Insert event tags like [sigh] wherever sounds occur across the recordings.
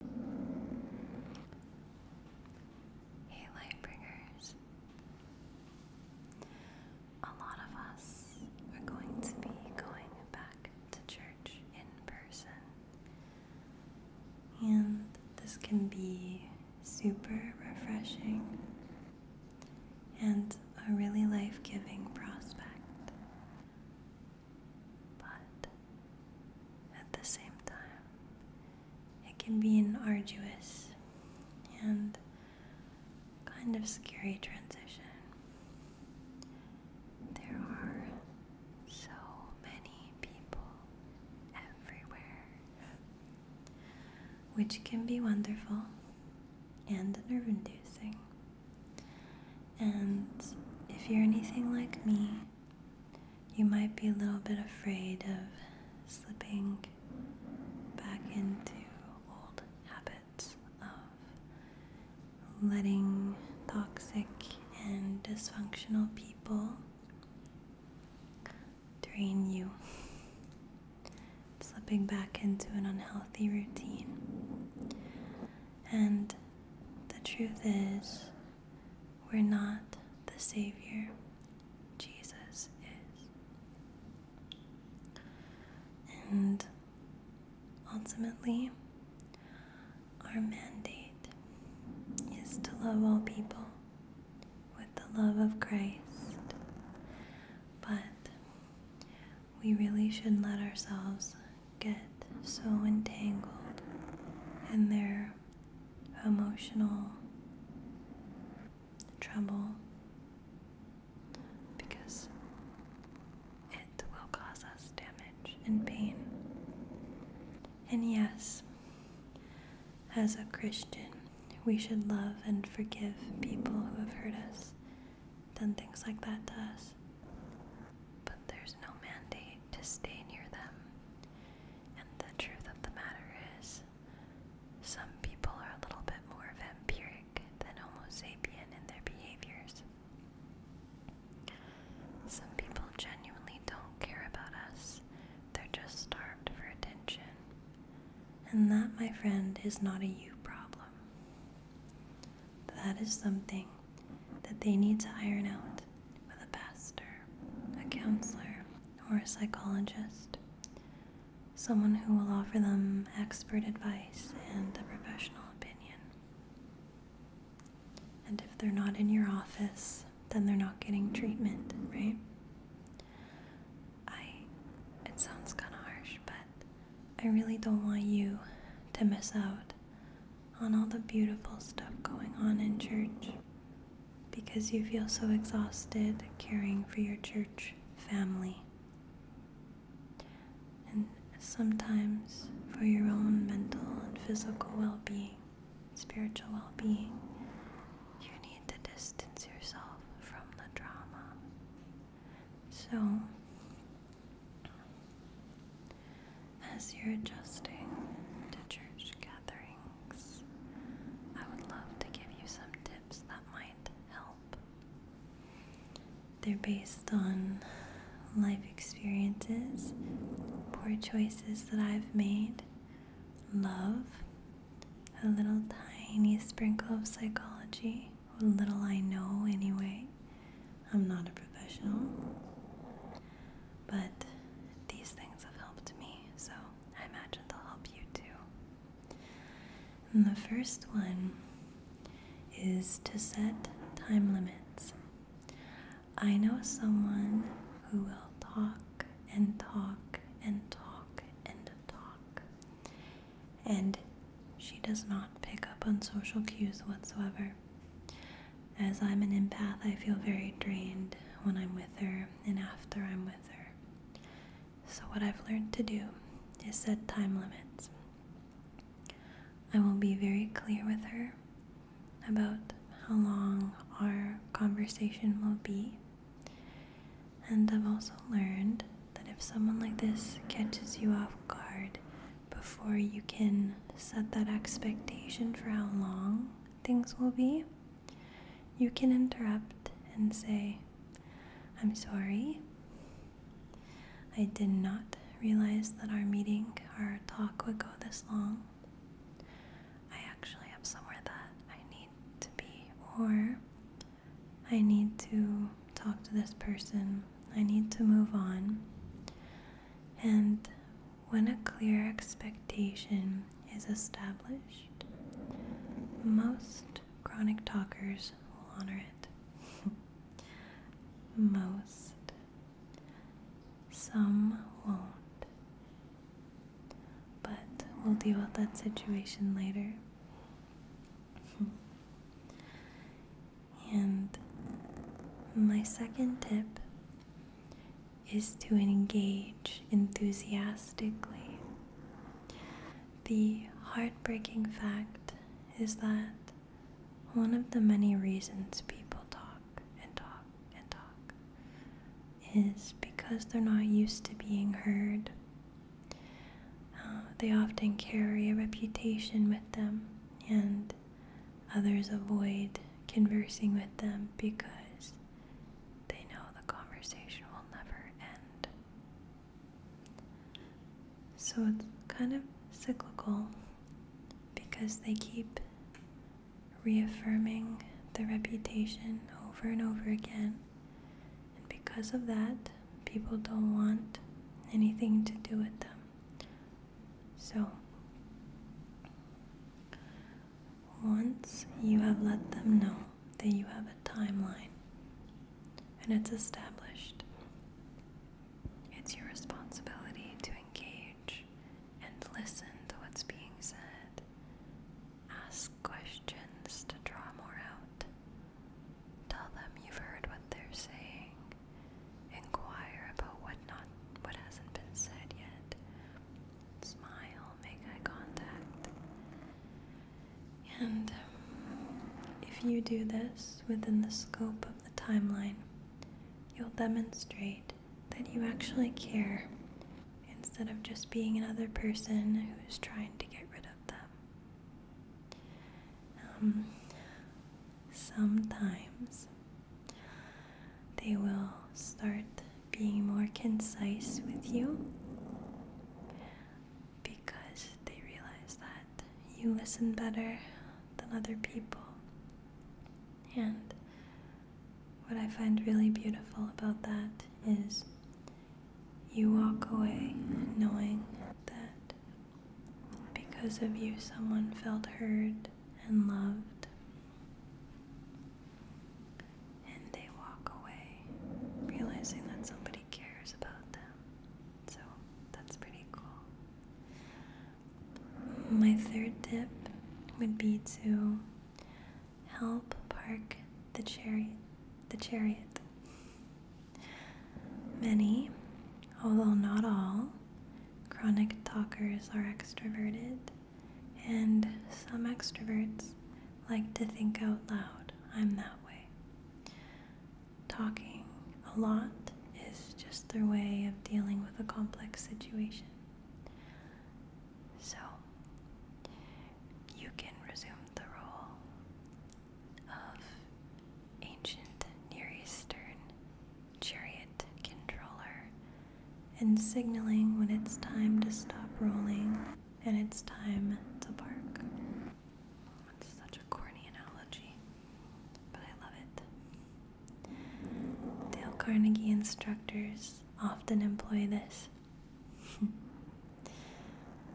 Hey Lightbringers. A lot of us are going to be going back to church in person. And this can be super refreshing and a really life giving prospect but at the same time, it can be an arduous and kind of scary transition. There are so many people everywhere, which can be wonderful and nerve inducing. And if you're anything like me, you might be a little bit afraid of slipping back into old habits of letting toxic and dysfunctional people drain you, slipping back into an unhealthy routine. And the truth is, we're not the Savior, Jesus is. And ultimately, our mandate is to love all people with the love of Christ. But we really should not let ourselves get so entangled in their emotional trouble because it will cause us damage and pain. And yes, as a Christian, we should love and forgive people who have hurt us, Then things like that to us. But there's no mandate to stay near them and the truth of the matter is, some people are a little bit more vampiric than Homo sapien in their behaviors. Some people genuinely don't care about us, they're just starved for attention. And that, my friend, is not a you problem. That is something that they need to iron out with a pastor, a counselor, or a psychologist, someone who will offer them expert advice and a professional opinion. And if they're not in your office, then they're not getting treatment, right? I, it sounds kind of harsh, but I really don't want you to miss out on all the beautiful stuff going on in church because you feel so exhausted caring for your church family. And sometimes for your own mental and physical well being, spiritual well being, you need to distance yourself from the drama. So, as you're adjusting to church gatherings. I would love to give you some tips that might help. They're based on life experiences, poor choices that I've made, love, a little tiny sprinkle of psychology, what little I know anyway, I'm not a professional, but these things have helped me, so I imagine they'll help you too. the first one is to set time limits. I know someone who will talk and talk and talk and talk, and she does not pick up on social cues whatsoever. As I'm an empath, I feel very drained when I'm with her and after I'm with her. So, what I've learned to do is set time limits. I will be very clear with her about how long our conversation will be. And I've also learned that if someone like this catches you off guard, before you can set that expectation for how long things will be, you can interrupt and say, I'm sorry. I did not realize that our meeting, our talk would go this long. I actually have somewhere that I need to be, or I need to talk to this person. I need to move on. And when a clear expectation is established, most chronic talkers will honor it. [laughs] most. Some won't. But we'll deal with that situation later. [laughs] and my second tip is to engage enthusiastically. The heartbreaking fact is that one of the many reasons people talk and talk and talk is because they're not used to being heard. Uh, they often carry a reputation with them, and Others avoid conversing with them because they know the conversation will never end. So it's kind of cyclical because they keep reaffirming the reputation over and over again. And because of that, people don't want anything to do with them so, once you have let them know that you have a timeline and it's established, it's your responsibility to engage and listen to what's being said. Ask questions to draw more out. Tell them you've heard what they're saying Inquire about what not what hasn't been said yet. Smile, make eye contact. And if you do this within the scope of the timeline, you'll demonstrate that you actually care instead of just being another person who's trying to get rid of them. Um, sometimes they will start being more concise with you because they realize that you listen better than other people. And what I find really beautiful about that is you walk away knowing that because of you, someone felt heard and loved and they walk away, realizing that somebody cares about them. So that's pretty cool. My third tip would be to help park the chariot. The chariot. Many, although not all, Chronic talkers are extroverted, and some extroverts like to think out loud. I'm that way. Talking a lot is just their way of dealing with a complex situation. So, you can resume the role of ancient Near Eastern chariot controller and signaling when it's time to stop rolling and it's time to bark. That's such a corny analogy, but I love it. Dale Carnegie instructors often employ this [laughs]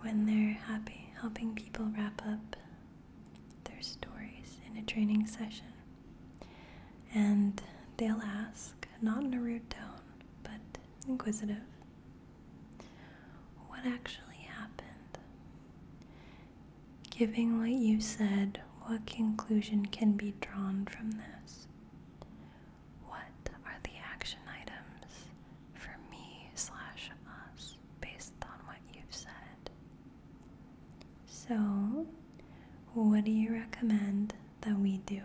when they're happy helping people wrap up their stories in a training session. And they'll ask, not in a rude tone, but inquisitive, what actually happened? Giving what you said, what conclusion can be drawn from this? What are the action items for me slash us based on what you've said? So, what do you recommend that we do?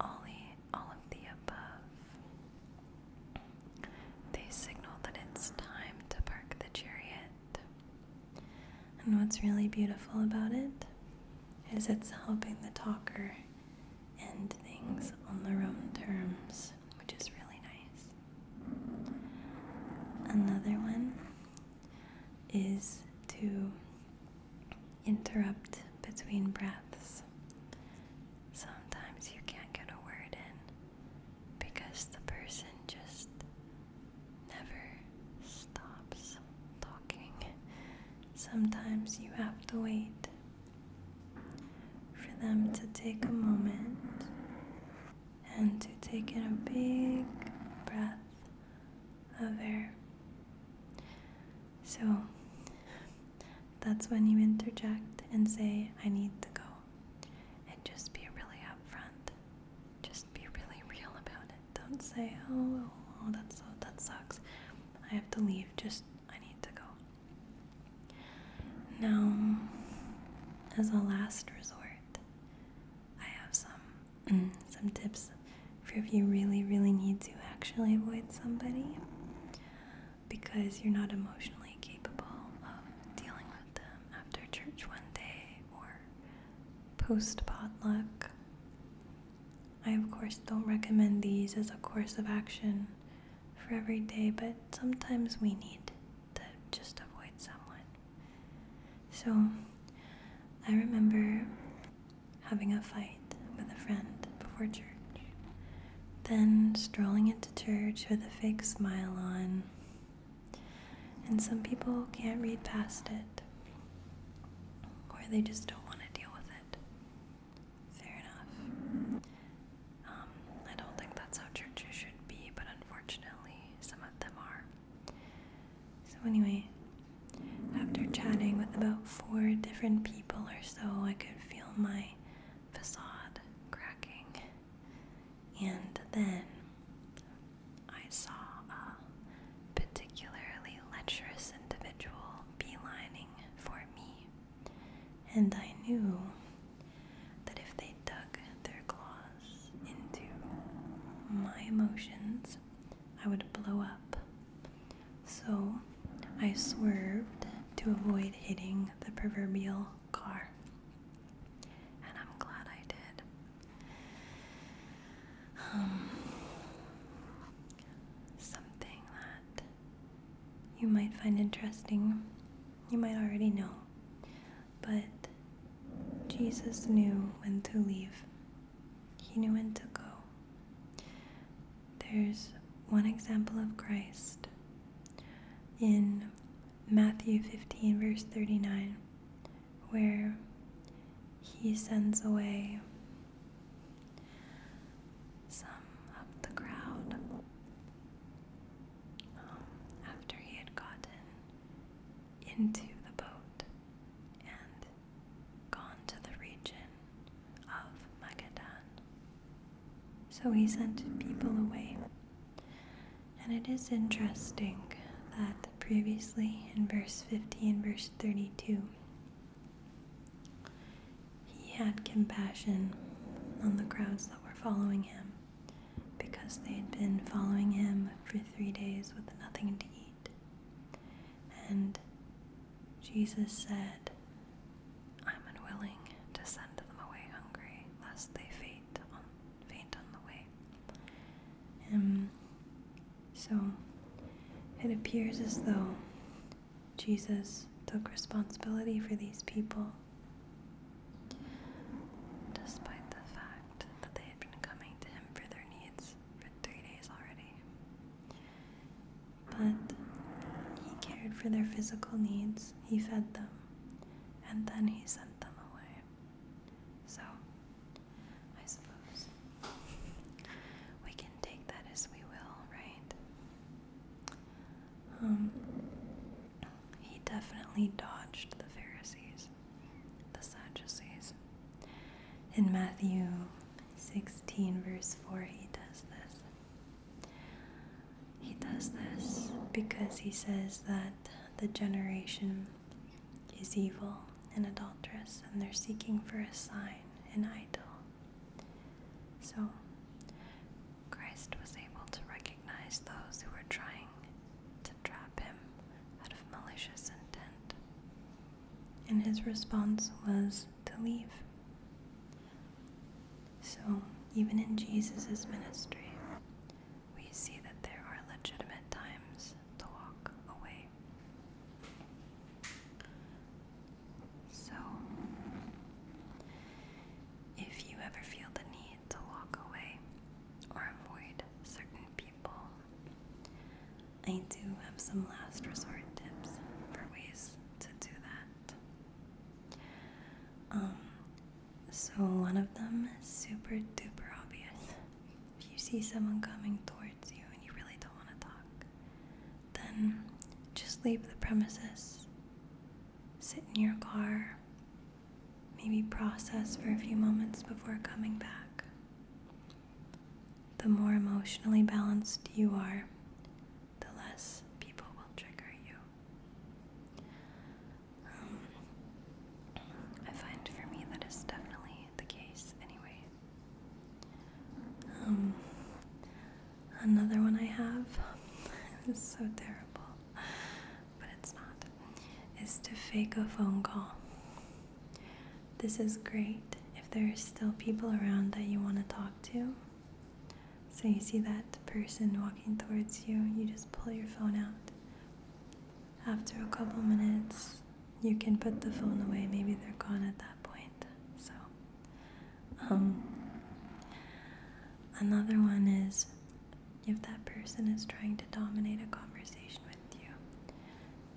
All, all of the above. They signal that it's time to park the chariot. And what's really beautiful about it is it's helping the talker end things on their own terms, which is really nice. Another one is to interrupt between breaths. Sometimes you can't get a word in because the person just never stops talking. Sometimes you have to wait for them to take a moment and to take in a big breath of air. So that's when you interject and say, I need to go. And just be really upfront. Just be really real about it. Don't say, oh, oh, that's that sucks. I have to leave. Just, I need to go. Now, as a last resort, I have some mm, some tips for if you really really need to actually avoid somebody because you're not emotionally capable of dealing with them after church one day or post potluck. I of course don't recommend these as a course of action for every day, but sometimes we need to just avoid someone. So I remember having a fight with a friend before church, then strolling into church with a fake smile on. And some people can't read past it, or they just don't want to deal with it. Fair enough. Um, I don't think that's how churches should be, but unfortunately, some of them are. So, anyway, after chatting with about four different people or so, I could feel my facade cracking. And then I saw a particularly lecherous individual beelining for me, and I knew that if they dug their claws into my emotions, I would blow up. So I swerved to avoid hitting the proverbial car. And I'm glad I did. Um, something that you might find interesting, you might already know, but Jesus knew when to leave, He knew when to go. There's one example of Christ in Matthew 15, verse 39, where He sends away some of the crowd um, after He had gotten into the boat and gone to the region of Magadan. So he sent people away. And it is interesting that previously in verse 50 and verse 32, he had compassion on the crowds that were following him because they had been following him for three days with nothing to eat. And Jesus said, I'm unwilling to send them away hungry, lest they faint on, the way. And um, so it appears as though Jesus took responsibility for these people despite the fact that they had been coming to him for their needs for three days already. But he cared for their physical needs, he fed them, and then he sent them away. So, I suppose we can take that as we will, right? Um, he definitely dodged the Pharisees, the Sadducees. In Matthew 16, verse 4, he does this. He does this because he says that the generation is evil and adulterous, and they're seeking for a sign, an idol. So, Christ was able to recognize those who were trying to trap him out of malicious intent. And his response was to leave. So, even in Jesus' ministry, we see that there are legitimate times to walk away. So, if you ever feel the need to walk away, or avoid certain people. I do have some last resort tips for ways to do that. Um, so one of them is super duper obvious. If you see someone coming towards you and you really don't want to talk, then just leave the premises. Sit in your car, maybe process for a few moments before coming back. The more emotionally balanced you are, the less people will trigger you. Um, I find for me that is definitely the case, anyway. Um, another one I have [laughs] is so terrible but it's not, is to fake a phone call. This is great if there are still people around that you want to talk to. So you see that person walking towards you, you just pull your phone out. After a couple minutes, you can put the phone away. Maybe they're gone at that point. So, um, another one is if that person is trying to dominate a conversation with you,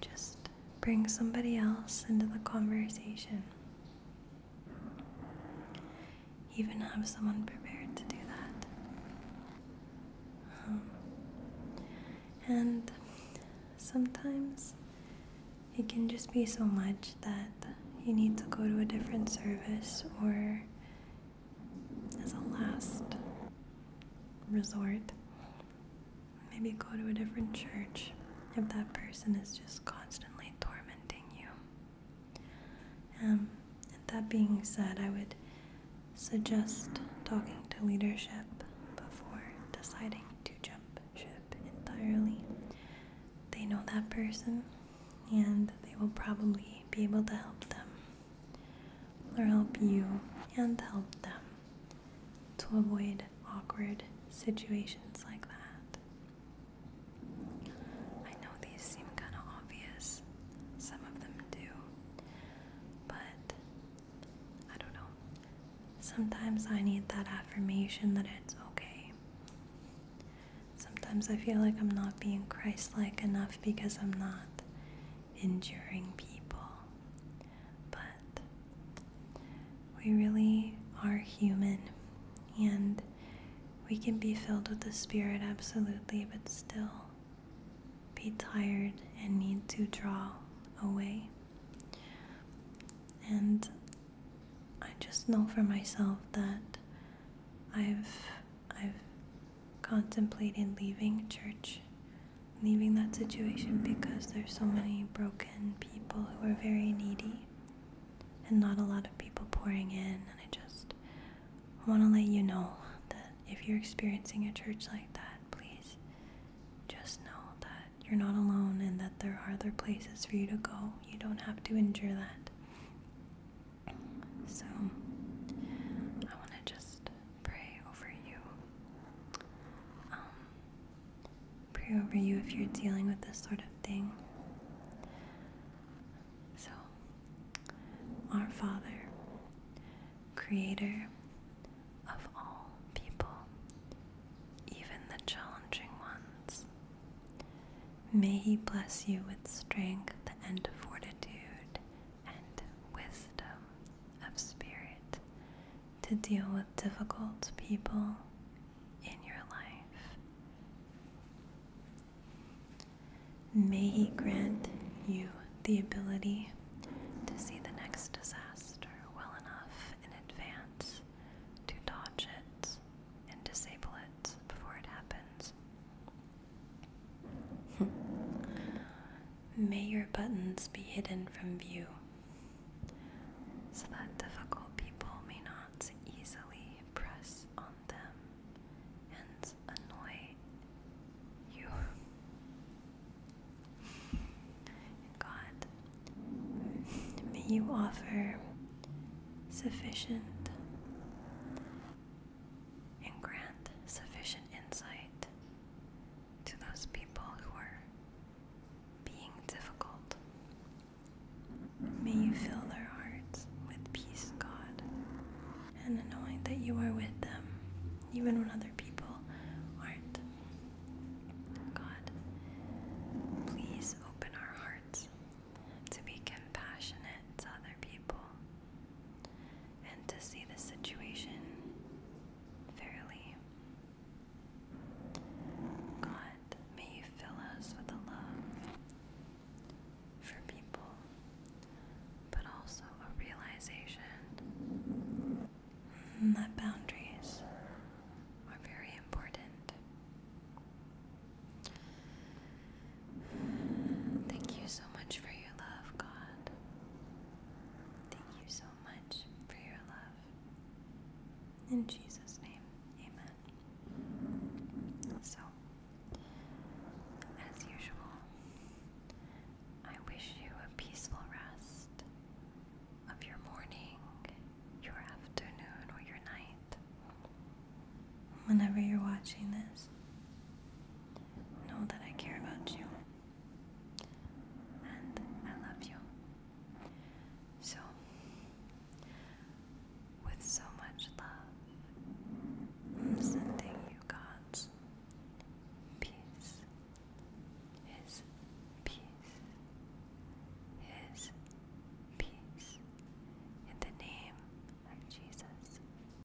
just bring somebody else into the conversation. Even have someone prepared to do that. Um, and sometimes it can just be so much that you need to go to a different service or as a last resort. Maybe go to a different church if that person is just constantly tormenting you. Um, and that being said, I would suggest talking to leadership before deciding to jump ship entirely. They know that person and they will probably be able to help them or help you and help them to avoid awkward situations like that. I know these seem kind of obvious, some of them do, but I don't know. Sometimes I need that affirmation that it's okay. Sometimes I feel like I'm not being Christ like enough because I'm not enduring people. But we really are human and we can be filled with the Spirit, absolutely, but still be tired and need to draw away. And I just know for myself that I've I've contemplated leaving church, leaving that situation because there's so many broken people who are very needy and not a lot of people pouring in. And I just want to let you know that if you're experiencing a church like that, please just know that you're not alone and that there are other places for you to go. You don't have to endure that. So I want to just pray over you. Um, pray over you if you're dealing with this sort of thing. So, our Father, Creator of all people, even the challenging ones, may He bless you with strength and fortitude and wisdom of spirit to deal with difficult people in your life. May He grant you the ability to see the next disaster well enough in advance to dodge it and disable it before it happens. Hmm. May your buttons be hidden from view, so that difficult people may not easily press on them and annoy you. God, may you offer sufficient and grant sufficient insight to those people who are being difficult. May you fill their hearts with peace, God, and knowing that you are with them, even when other people aren't. God, please open our hearts to be compassionate to other people, and to see the situation fairly. God, may fill us with a love for people, but also a realization that boundaries are very important. Thank you so much for your love, God. Thank you so much for your love. In Jesus' name, amen. So, as usual, I wish you a peaceful rest of your morning, your afternoon, or your night. Whenever you're watching this, Know that I care about you and I love you. So, with so much love, I'm sending you God's peace, His peace, His peace, in the name of Jesus.